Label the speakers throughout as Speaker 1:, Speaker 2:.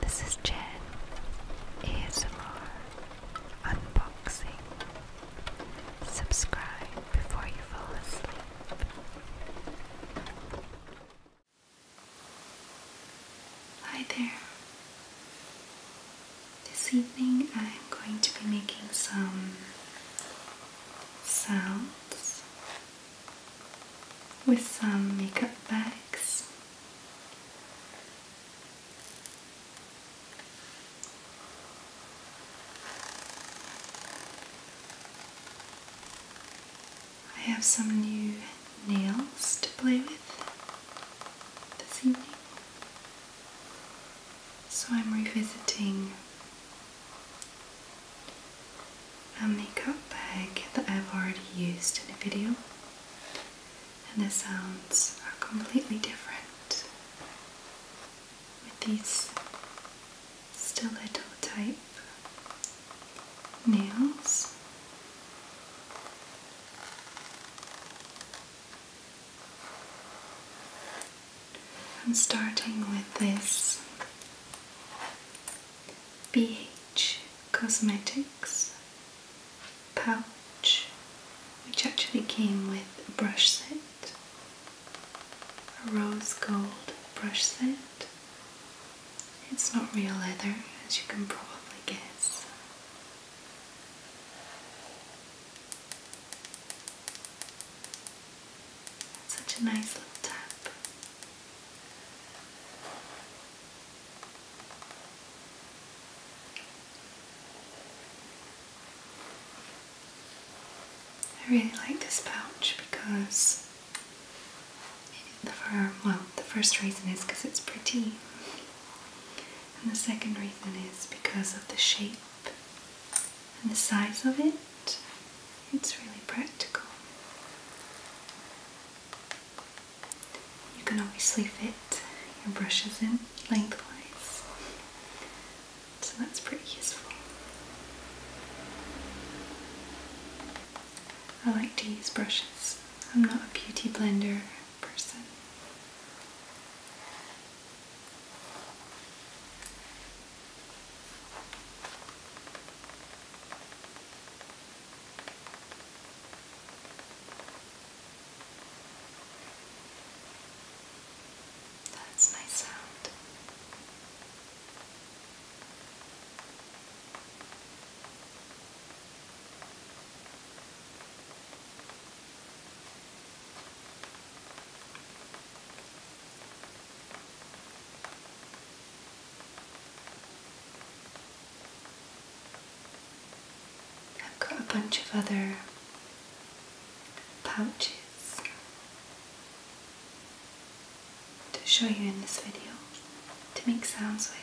Speaker 1: This is Jen ASMR Unboxing. Subscribe before you fall asleep. Hi there. This evening I'm going to be making some sounds with some makeup bags. I have some new nails to play with this evening. So I'm revisiting a makeup bag that I've already used in a video and the sounds are completely different with these stiletto type nails. I'm starting with this BH Cosmetics pouch, which actually came with a brush set, a rose gold brush set. It's not real leather, as you can probably guess. Such a nice little tap. I really like this pouch because the far, well, the first reason is because it's pretty, and the second reason is because of the shape and the size of it. It's really practical. You can obviously fit your brushes in lengthwise, so that's pretty useful. I like to use brushes. I'm not a beauty blender person. That's my sound. I've got a bunch of other pouches to show you in this video to make sounds with.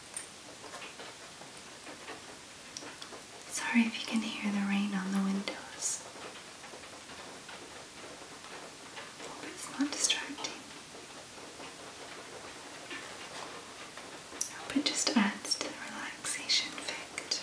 Speaker 1: Sorry if you can hear the rain on the windows. Hope it's not distracting. hope it just adds to the relaxation effect.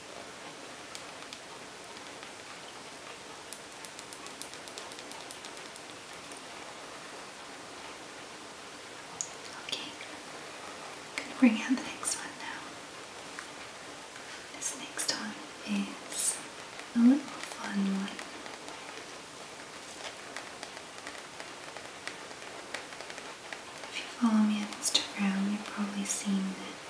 Speaker 1: Okay, gonna bring out the next one now. This next one is a little fun one. If you follow me on Instagram, you've probably seen that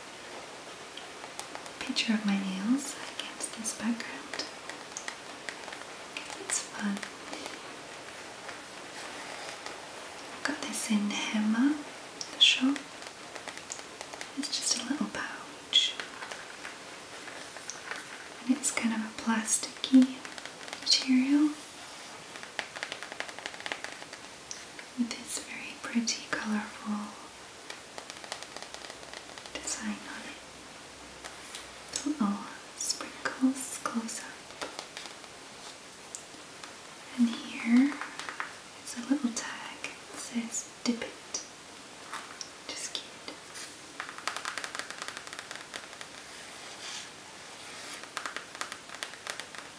Speaker 1: picture of my nails against this background. It's fun. got this in Hema, the shop. It's just a little pouch. And it's kind of a plasticky material with this very pretty colorful design on it. Little oh, sprinkles close up. And it's a little tag that says dip it. Just cute.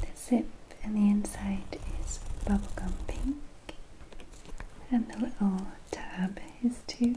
Speaker 1: The zip and the inside is bubblegum pink, and the little tab is too.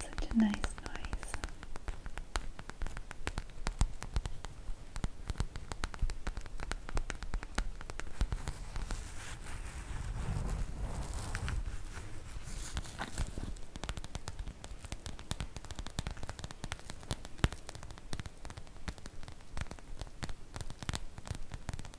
Speaker 1: Such a nice noise.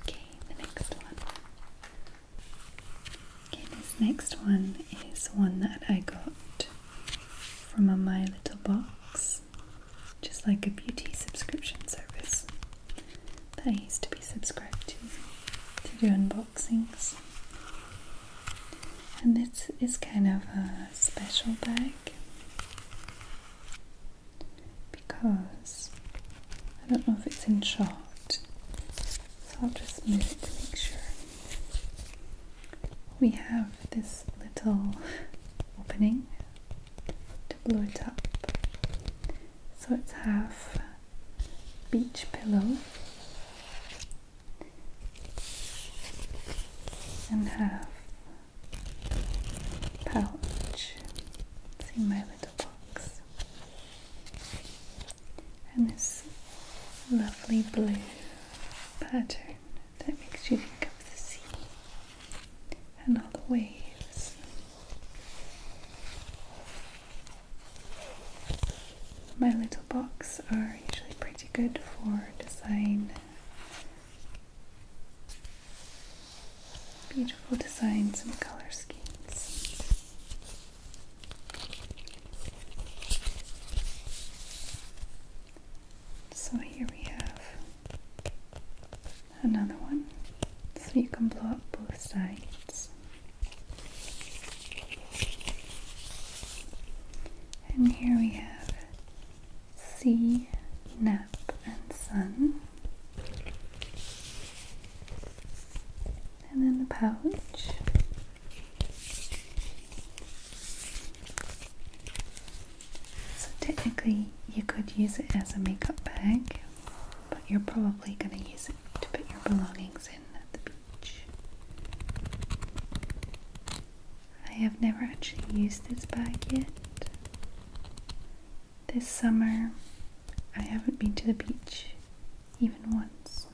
Speaker 1: Okay, the next one. Okay, this next one is one that I got from My Little Box just like a beauty subscription service that I used to be subscribed to to do unboxings. And this is kind of a special bag because I don't know if it's in shot, so I'll just move it to make sure. We have this little opening to blow it up. So it's half beach pillow and half pouch. It's my little box. And this lovely blue pattern that makes you think of the sea and all the waves. My little books are usually pretty good for design. Beautiful designs and color schemes. So here we have another one so you can blow up both sides and here we have C, nap and sun and then the pouch so technically you could use it as a makeup bag, but you're probably going to use it to put your belongings in at the beach. I have never actually used this bag yet. This summer I haven't been to the beach even once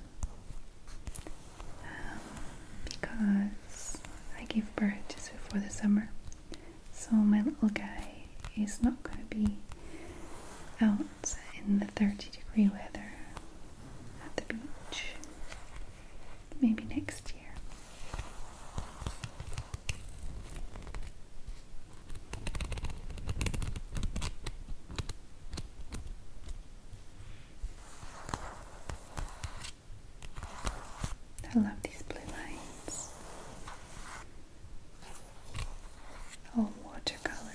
Speaker 1: um, because I gave birth just before the summer so my little guy is not going to be out in the 30 degree weather at the beach. Maybe next year. I love these blue lines. Oh, watercolory.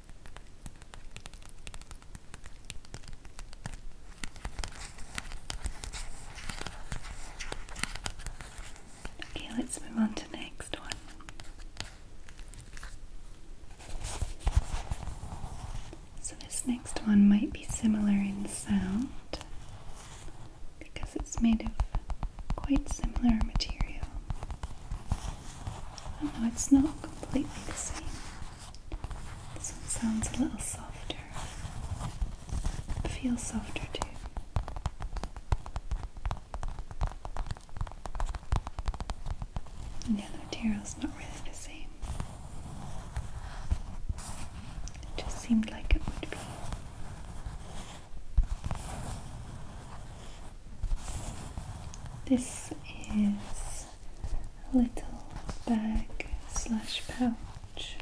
Speaker 1: Okay, let's move on to the next one. So, this next one might be similar in sound because it's made of quite similar material. Oh it's not completely the same. This one sounds a little softer. Feels softer too. And the material's not really the same. It just seemed like it would be. This is little bag slash pouch.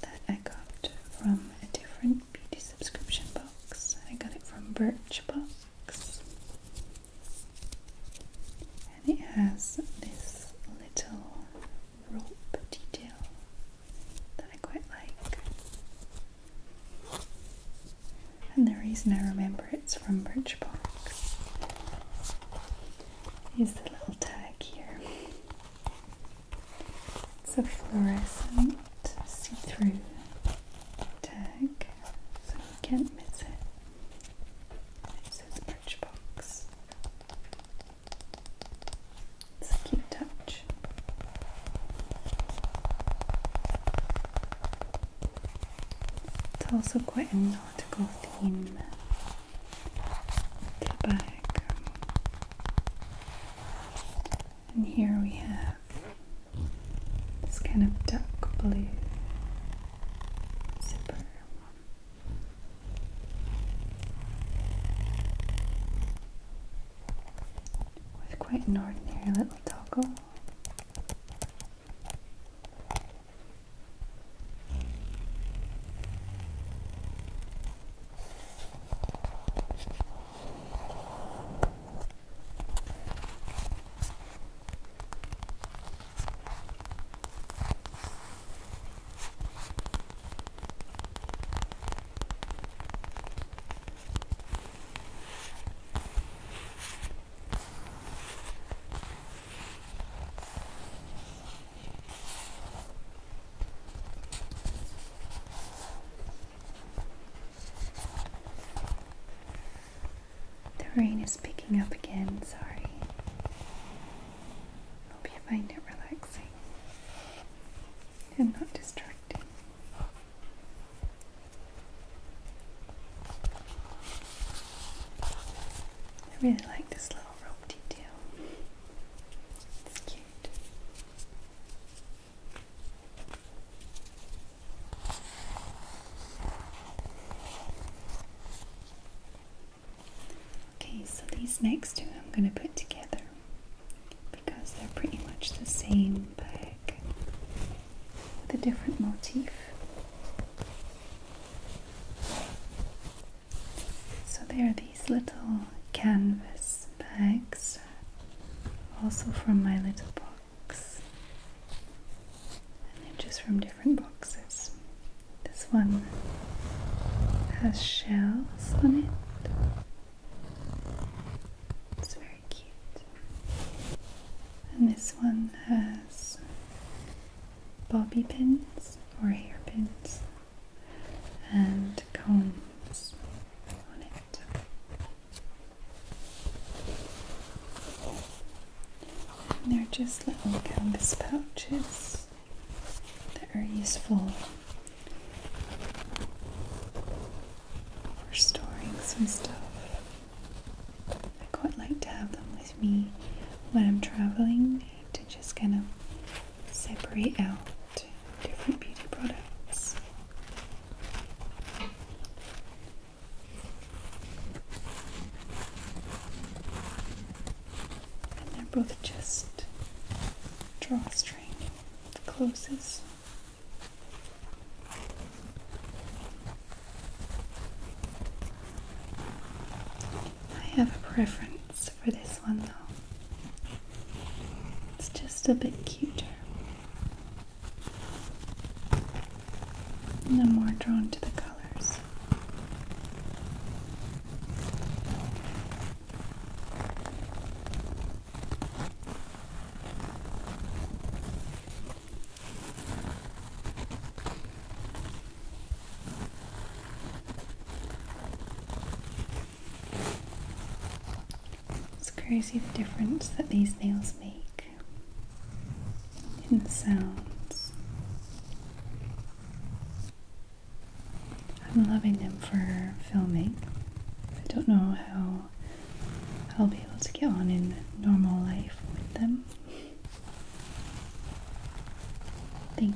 Speaker 1: That I got from a different beauty subscription box. I got it from Birchbox, and it has this little rope detail that I quite like. And the reason I remember it's from Birch Park is the little tag here. It's a fluorescent see through tag, so you can't miss it. It says Birch it's a cute touch. It's also quite a nautical theme the back. And here we have this kind of dark blue zipper with quite an ordinary little toggle. The rain is picking up again, sorry. Hope you find it relaxing and not distracting. I really like this little rope detail. It's cute. Okay, so these next two I'm going to put together because they're pretty much the same bag with a different motif. So they are these little canvas bags, also from my little box, and they're just from different boxes. This one has shells on it. It's very cute. And this one has bobby pins or hairpins and combs on it. And they're just little canvas pouches that are useful for storing some stuff. I quite like to have them with me when I'm traveling to just kind of separate out different beauty products. And they're both just drawstring the closest. I have a preference for this one though. It's just a bit cuter. And I'm more drawn to the colors. It's crazy the difference that these nails make in the sounds. I'm loving them for filming. I don't know how I'll be able to get on in normal life with them. I think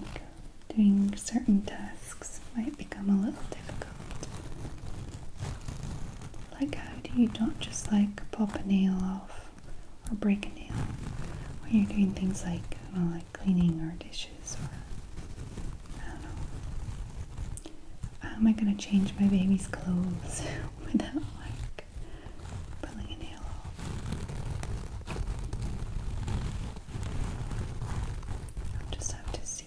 Speaker 1: doing certain tasks might become a little difficult. Like, how do you not just like pop a nail off or break a nail when you're doing things like, like cleaning or dishes? How am I gonna change my baby's clothes without like pulling a nail off? I'll just have to see.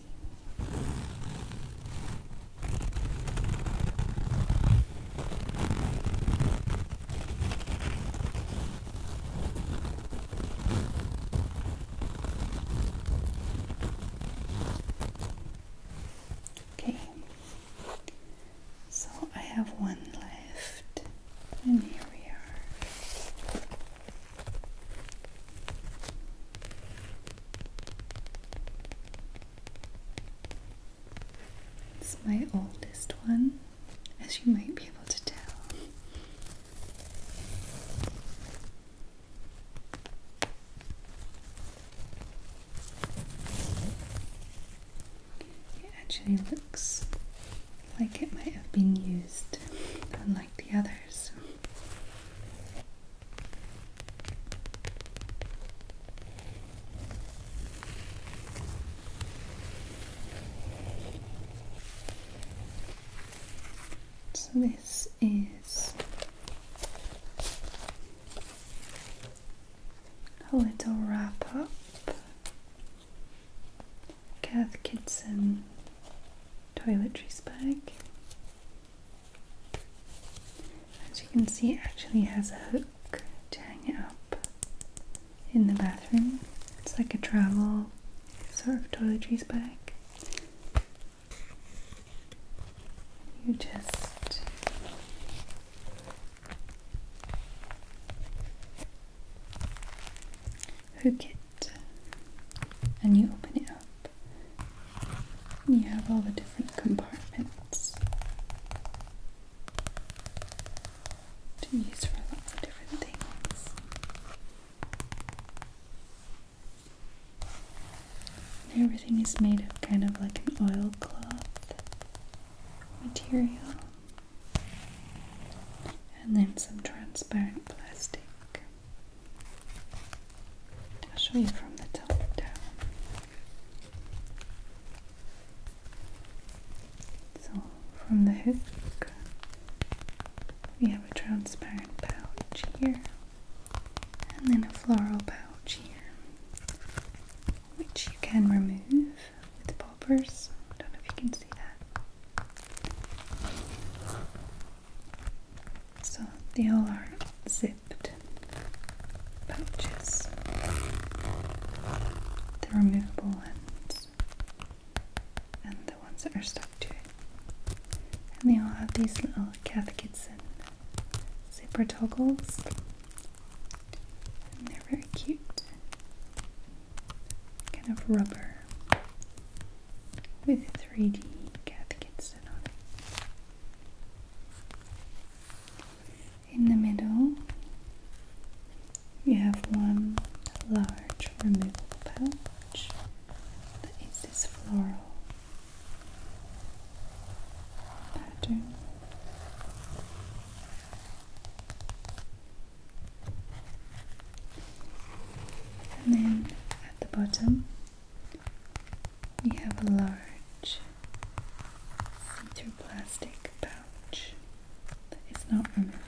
Speaker 1: Okay, so I have one left, and here we are. It's my oldest one, as you might be able to tell. It actually looks like it might have been used, unlike the others. So this is a little wrap up. Kath Kidson toiletries bag. As you can see, it actually has a hook to hang it up in the bathroom. It's like a travel more sort of toiletries back. You just hook it and you open it up. You have all the different compartments to use for lots of different things. Everything is made of kind of like an oilcloth material and then some transparent plastic. I'll show you from the top down. So, from the hook we have a transparent pouch here and then a floral pouch here, which you can remove with poppers. I don't know if you can see that. So they all are zipped pouches, They're removable ones and the ones that are stuck to it. And they all have these little cathkits and zipper toggles. they're very cute. Kind of rubber with 3D cathkits on it. In the middle you have one large removable pouch that is this floral pattern. And then at the bottom, we have a large see-through plastic pouch that is not removable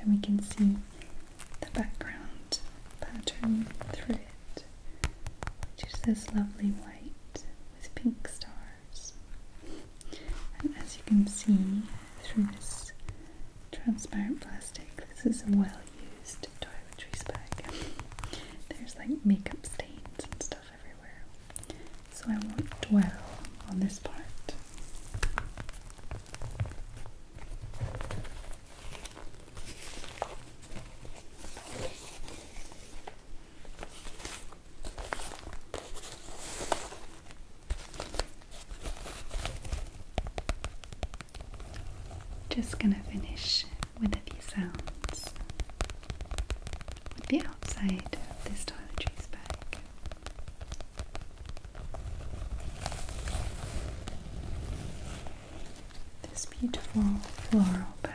Speaker 1: and we can see the background pattern through it, which is this lovely white with pink stars. And as you can see through this transparent plastic, this is a well used toiletries bag. There's like makeup stains and stuff everywhere, so I won't dwell on this part. Just going to finish with a few sounds with the outside of this toiletries bag. This beautiful floral pattern.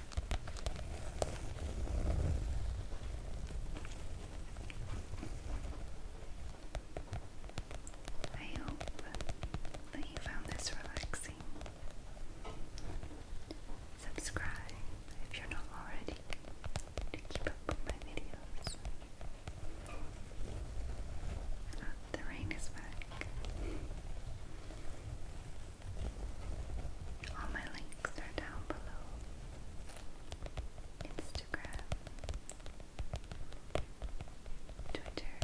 Speaker 1: I hope that you found this relaxing. Subscribe if you're not already to keep up with my videos. the rain is back. All my links are down below. Instagram, Twitter,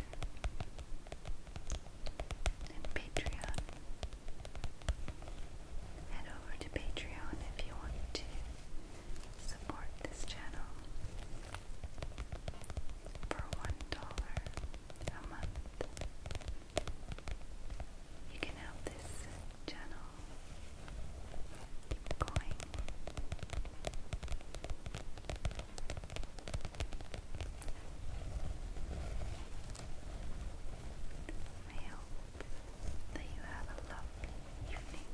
Speaker 1: and Patreon. Head over to Patreon if you want to support this channel. For one dollar a month, you can help this channel keep going. I hope that you have a lovely evening.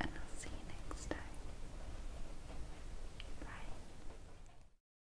Speaker 1: And I'll see you next time. Bye.